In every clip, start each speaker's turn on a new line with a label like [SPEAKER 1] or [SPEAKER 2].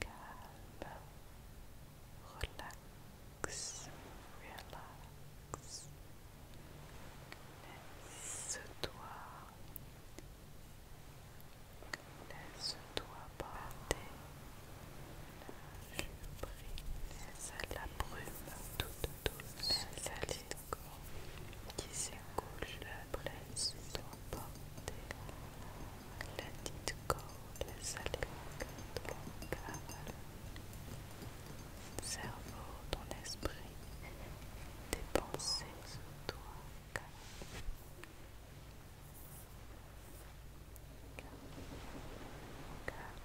[SPEAKER 1] calme, relax, relax. Laisse-toi, laisse-toi porter. je prie laisse la brume toute douce, laisse qui s'écoule, laisse-toi porter la corde, la ton cerveau, ton esprit, tes pensées sous toi, Calme, calme,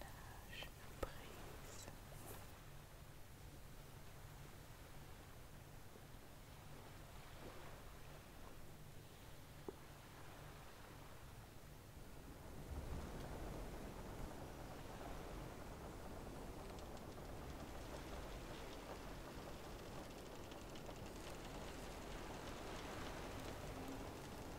[SPEAKER 1] Lâche prise.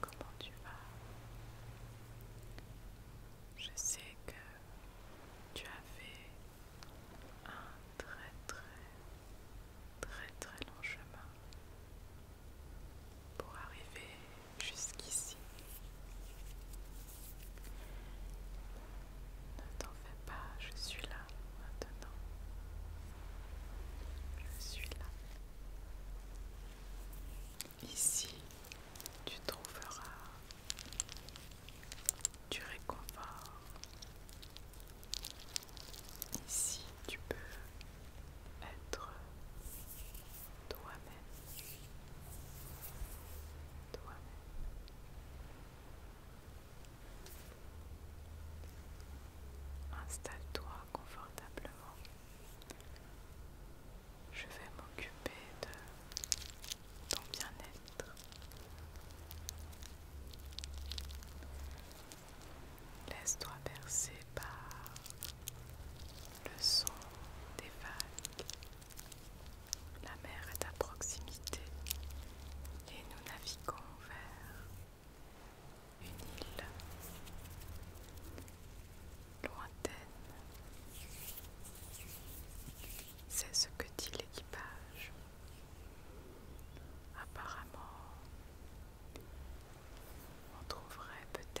[SPEAKER 1] Comment tu vas Je sais que tu as fait un très très très très long chemin pour arriver jusqu'ici. Ne t'en fais pas, je suis là maintenant. Je suis là. Ici, tu trouveras du réconfort. Ici, tu peux être toi-même, toi-même. Installe-toi confortablement. Je vais m'occuper de ton bien-être. Laisse-toi bercer par le son des vagues la mer est à proximité et nous naviguons vers une île lointaine. C'est ce que dit l'équipage. Apparemment, on trouverait peut-être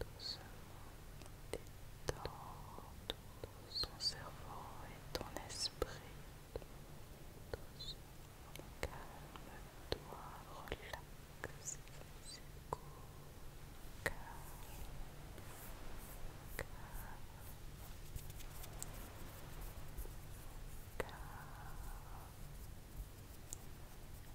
[SPEAKER 1] doucement ton cerveau et ton esprit. Doucement, calme-toi, relaxe, secoue,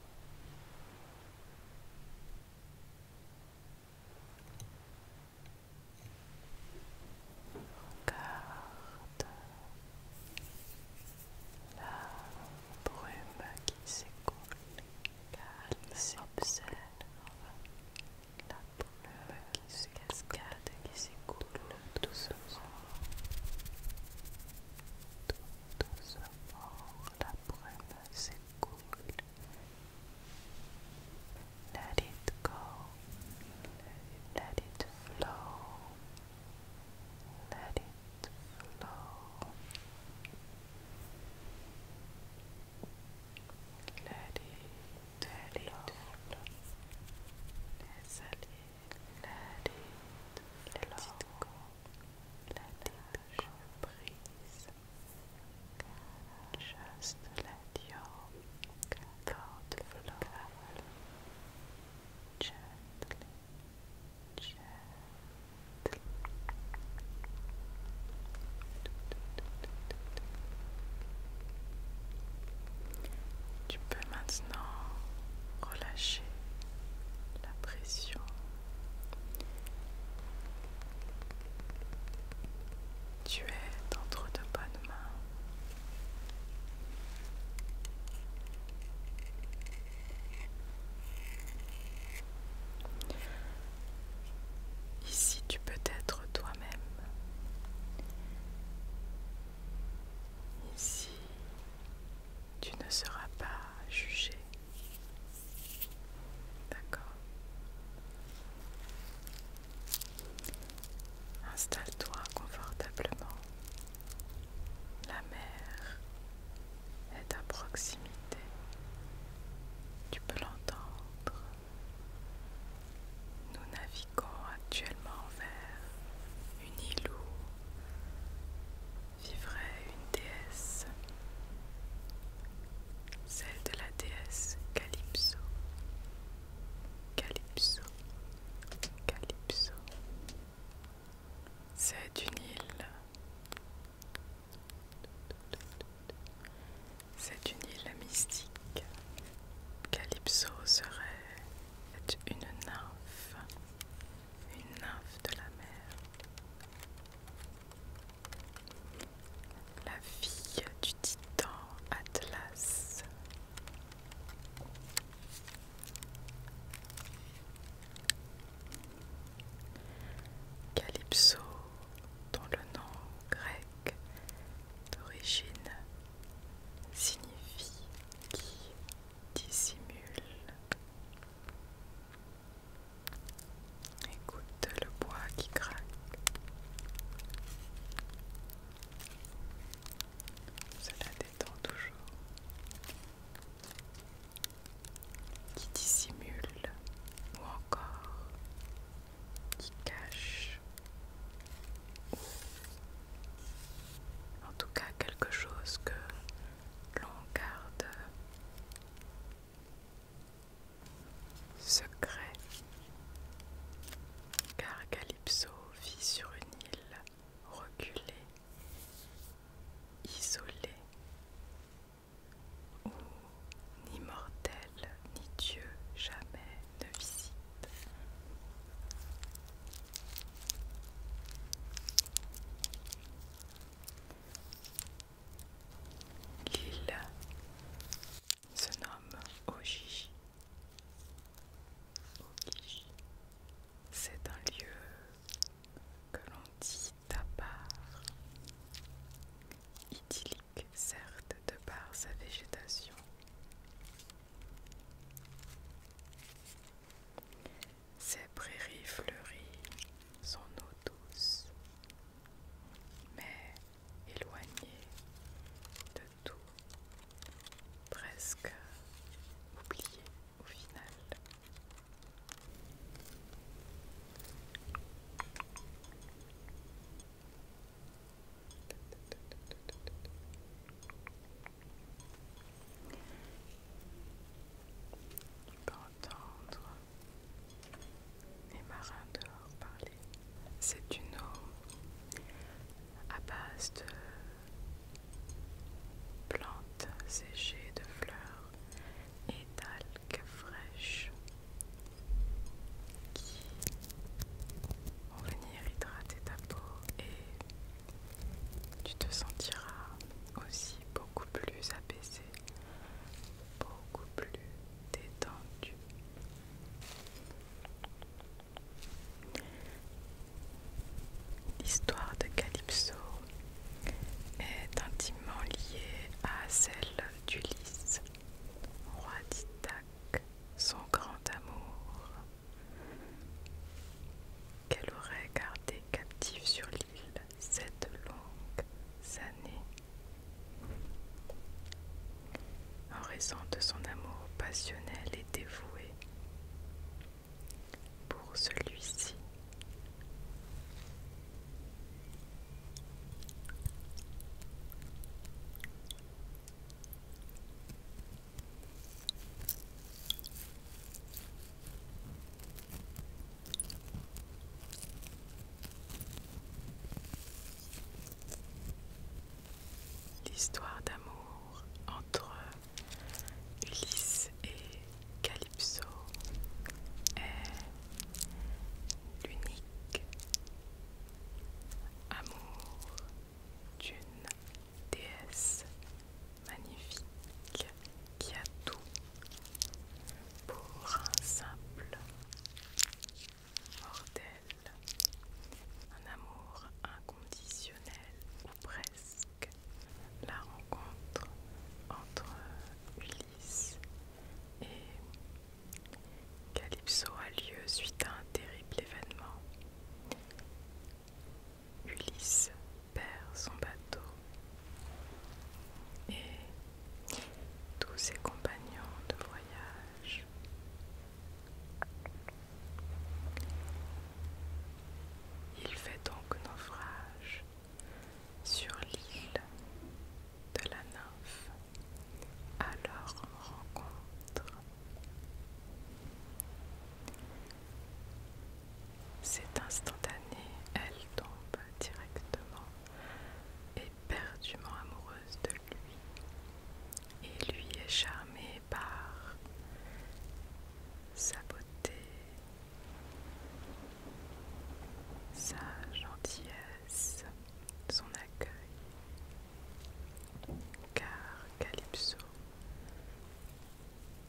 [SPEAKER 1] Regarde la brume qui s'écoule, calme, s'obsède. la brume qui se cascade, qui s'écoule doucement tout doucement la brume s'écoule. Let it go, let it flow, let it flow. Let it, let it flow. let it, let it go. Let it go, la brise, juste laissez la diorme, corde gently, gently. Tu peux maintenant relâcher la pression tu es entre de bonnes mains. Ici, tu peux être toi-même. Ici, tu ne seras pas juger. D'accord Installe-toi confortablement. La mer est à proximité. Tu peux l'entendre. Nous naviguons actuellement vers une île où vivrait une déesse, celle de la déesse Calypso. Calypso. Calypso. C'est une île. C'est une île mystique. Calypso serait une nymphe une nymphe de la mer, la fille du titan Atlas. Calypso, dont le nom grec d'origine signifie qui dissimule. Écoute le bois qui craque. Cela détend toujours. Qui dissimule ou encore qui cache en tout cas quelque chose que l'on garde secret, car Calypso vit sur une île reculée, isolée, où ni mortel ni Dieu jamais ne visite. L'île se nomme Oji. C'est un lieu que l'on dit à part, idyllique certes de par sa végétation. Ces prairies fleuries, sont eau douce, mais éloignées de tout, presque oubliées au final. Tu peux entendre les marins dehors parler. C'est une eau à base de plantes séchées, de fleurs et d'algues fraîches qui vont venir hydrater ta peau et tu te sentiras aussi beaucoup plus apaisé, beaucoup plus détendu. L'histoire de Calypso est intimement liée à celle d'Ulysse, roi d'Ithaque, son grand amour, qu'elle aurait gardé captive sur l'île. Cette longue longues années. En raison de son amour passionnel et dévoué pour celui-ci, L'histoire d'amour entre Ulysse et Calypso est l'unique amour d'une déesse magnifique qui a tout pour un simple mortel, un amour inconditionnel ou presque, la rencontre entre Ulysse et Calypso a lieu suite à un terrible événement. Ulysse perd son bateau et tous ses compagnons de voyage. Il fait donc naufrage sur l'île de la nymphe à leur rencontre. C'est instantané, elle tombe directement, éperdument amoureuse de lui, et lui est charmé par sa beauté, sa gentillesse, son accueil, car Calypso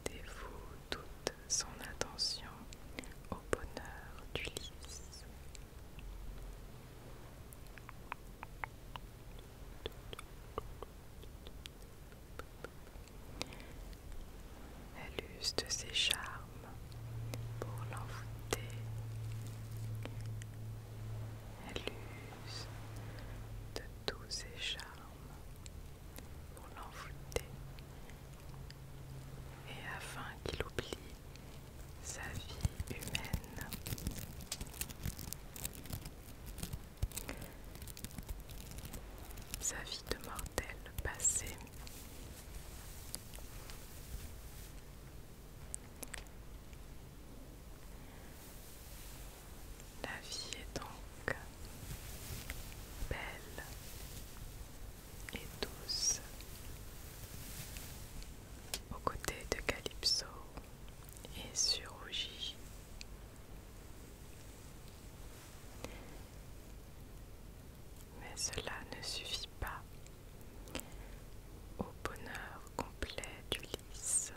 [SPEAKER 1] dévoue toute son attention au bonheur du lys, Elle use de ses charmes pour l'envoûter. Elle use de tous ses charmes pour l'envoûter et afin qu'il oublie sa vie humaine. Sa vie de mortel passée. La vie est donc belle, et douce. Aux côtés de Calypso et surgit. Mais cela ne suffit pas au bonheur complet d'Ulysse.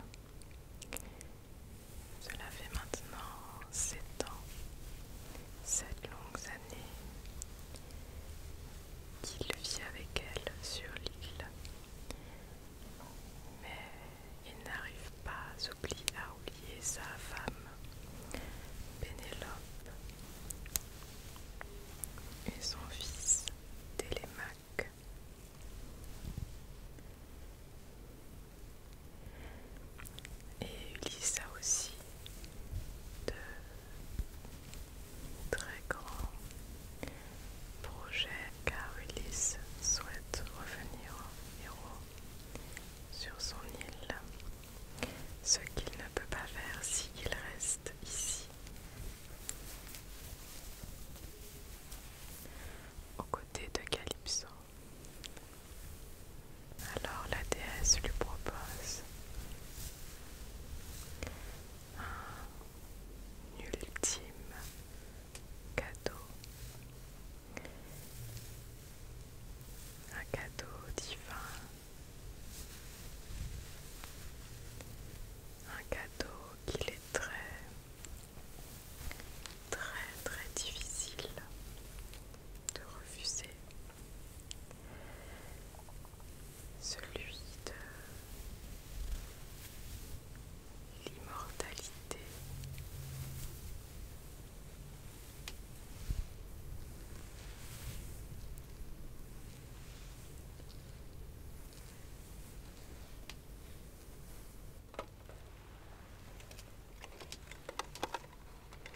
[SPEAKER 1] Cela fait maintenant 7 ans, 7 longues qu'il vit avec elle sur l'île. Mais il n'arrive pas à oublier sa femme, Pénélope, et son fils, Télémaque. Et Ulysse a aussi de très grands projets car Ulysse souhaite revenir héros sur son île, ce qu'il ne peut pas faire s'il reste ici. Aux côtés de Calypso, alors la déesse lui propose un ultime cadeau, un cadeau divin, un cadeau qu'il est très très très difficile de refuser celui de l'immortalité.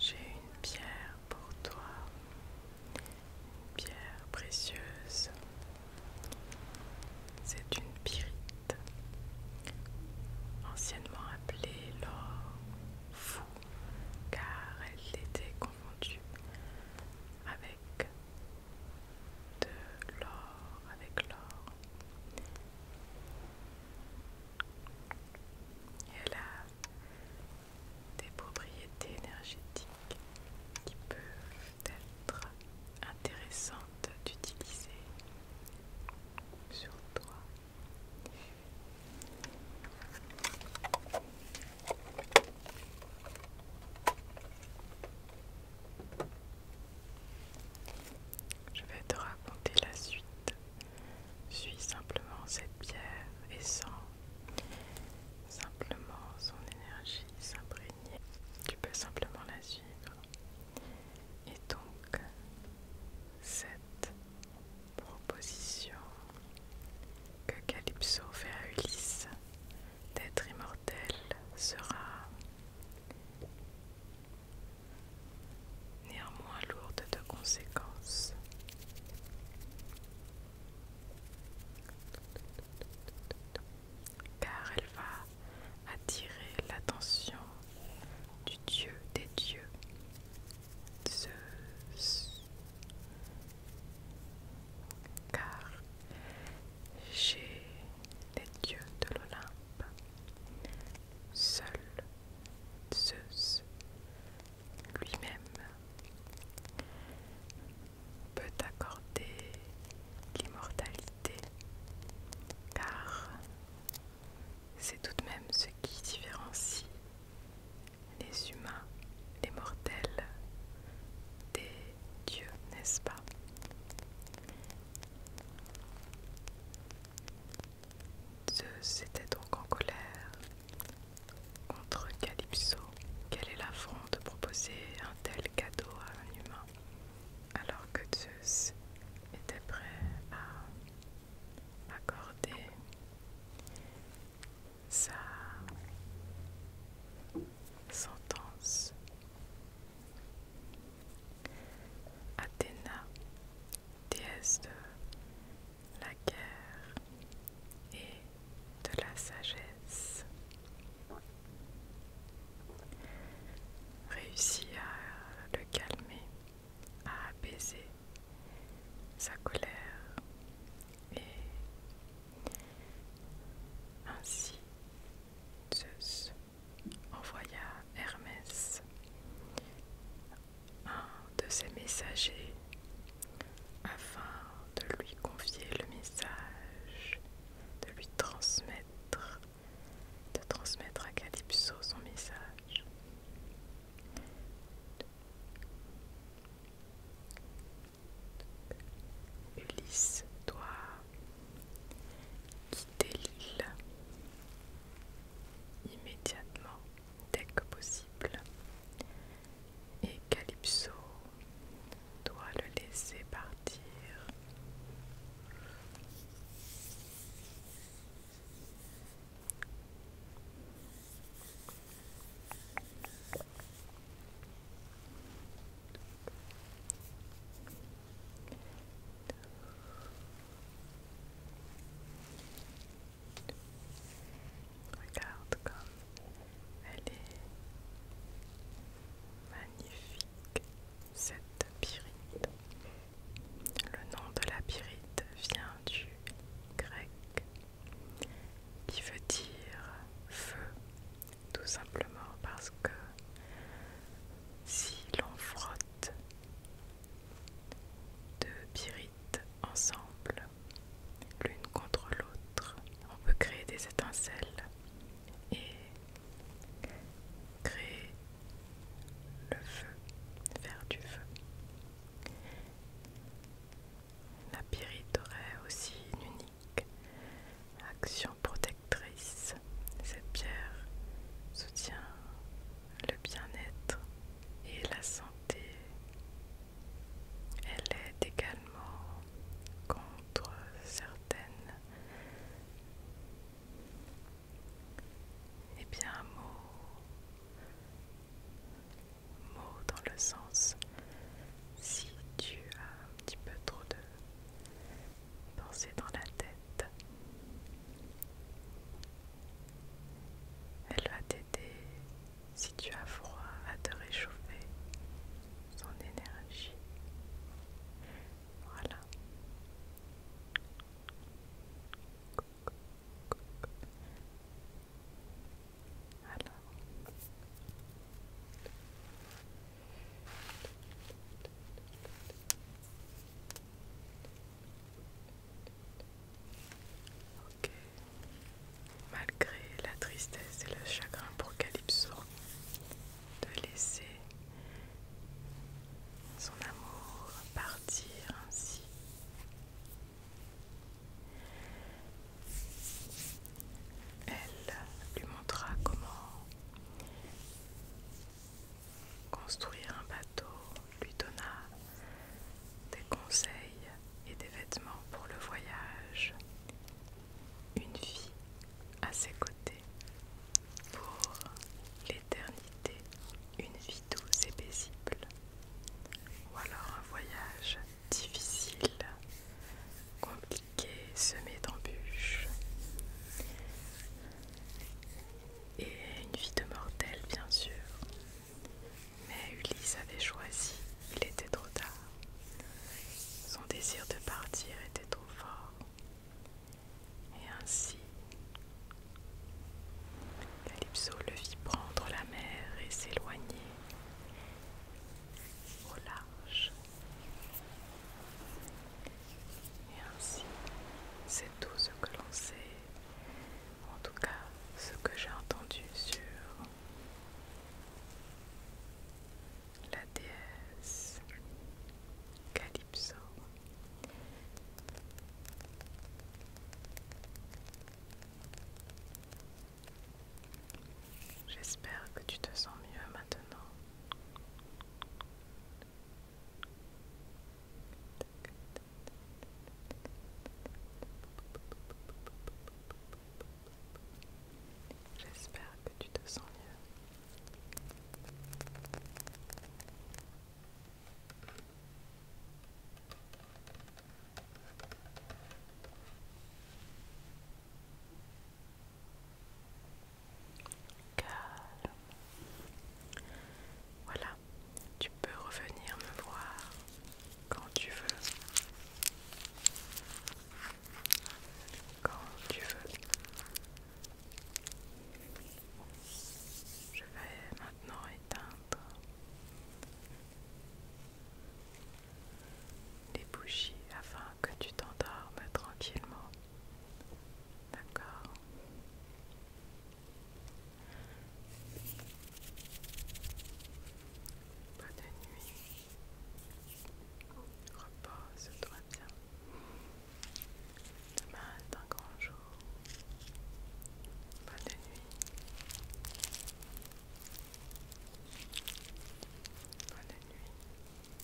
[SPEAKER 1] J'ai une pierre pour toi une pierre précieuse. C'est une pyrite, anciennement appelée l'or fou, car elle était confondue avec de l'or, avec l'or. Elle a des propriétés énergétiques qui peuvent être intéressantes d'utiliser sur toi. Je vais te raconter la suite. Suis simplement cette pierre et sans. Simplement son énergie s'imprégner. Tu peux simplement la suivre. Et donc, cette proposition que Calypso fait à Ulysse d'être immortel sera néanmoins lourde de conséquences car elle va attirer l'attention du Dieu des dieux. Zeus. Car j'ai les dieux de l'Olympe, seul Zeus lui-même peut accorder l'immortalité, car c'est tout de même ce qui différencie les humains, les mortels, des dieux, n'est-ce pas Zeus était donc en colère contre Calypso. Quelle est l'affront de proposer un tel cadeau à un humain, alors que Zeus était prêt à accorder sa sentence. Athéna, déesse de la guerre et de la sagesse. réussit à le calmer, à apaiser sa colère et ainsi Zeus envoya Hermès, un de ses messagers, afin de lui confier le message, de lui transmettre, de transmettre à Calypso son message. Ulysse doit quitter l'île immédiatement dès que possible et Calypso doit le laisser partir. Regarde comme elle est magnifique, cette pyrite. Le nom de la pyrite vient du grec qui veut dire feu, tout simplement parce que si l'on frotte deux pyrites ensemble, l'une contre l'autre, on peut créer des étincelles et créer le feu, faire du feu. La pyrite aurait aussi une unique action protectrice. Cette pierre soutient le bien-être et la santé. Elle aide également contre certaines et eh bien mot mot dans le sens si tu as un petit peu trop de pensées dans la tête elle va t'aider si tu as froid à te réchauffer son énergie. Voilà. Malgré la tristesse et le chagrin pour Calypso, de laisser son amour partir ainsi. Elle lui montra comment construire un bateau, lui donna des conseils et des vêtements pour le voyage, une vie à ses côtés pour l'éternité, une vie douce et paisible, ou alors un voyage difficile, compliqué, semé d'embûches, et une vie de mortel bien sûr. Mais Ulysse avait choisi, il était trop tard. Son désir de partir était trop fort. Et ainsi, Calypso le vit prendre la mer et s'éloigner au large. Et ainsi, c'est tout ce que l'on sait, en tout cas ce que j'ai entendu sur la déesse Calypso. J'espère que tu te sens mieux maintenant. J'espère que tu te sens mieux. Calme. Voilà, tu peux revenir me voir quand tu veux. Je vais maintenant éteindre les bougies afin que tu t'endormes tranquillement. D'accord nuit repose-toi bien. Demain un grand jour. Bonne nuit. Bonne nuit.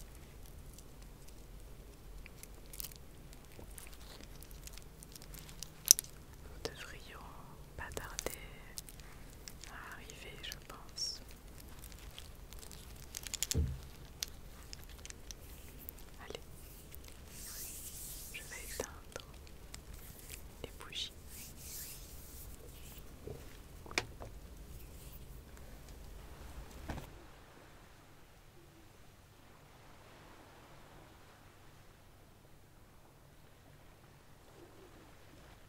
[SPEAKER 1] Nous devrions pas tarder à arriver, je pense. Allez, je vais éteindre les bougies.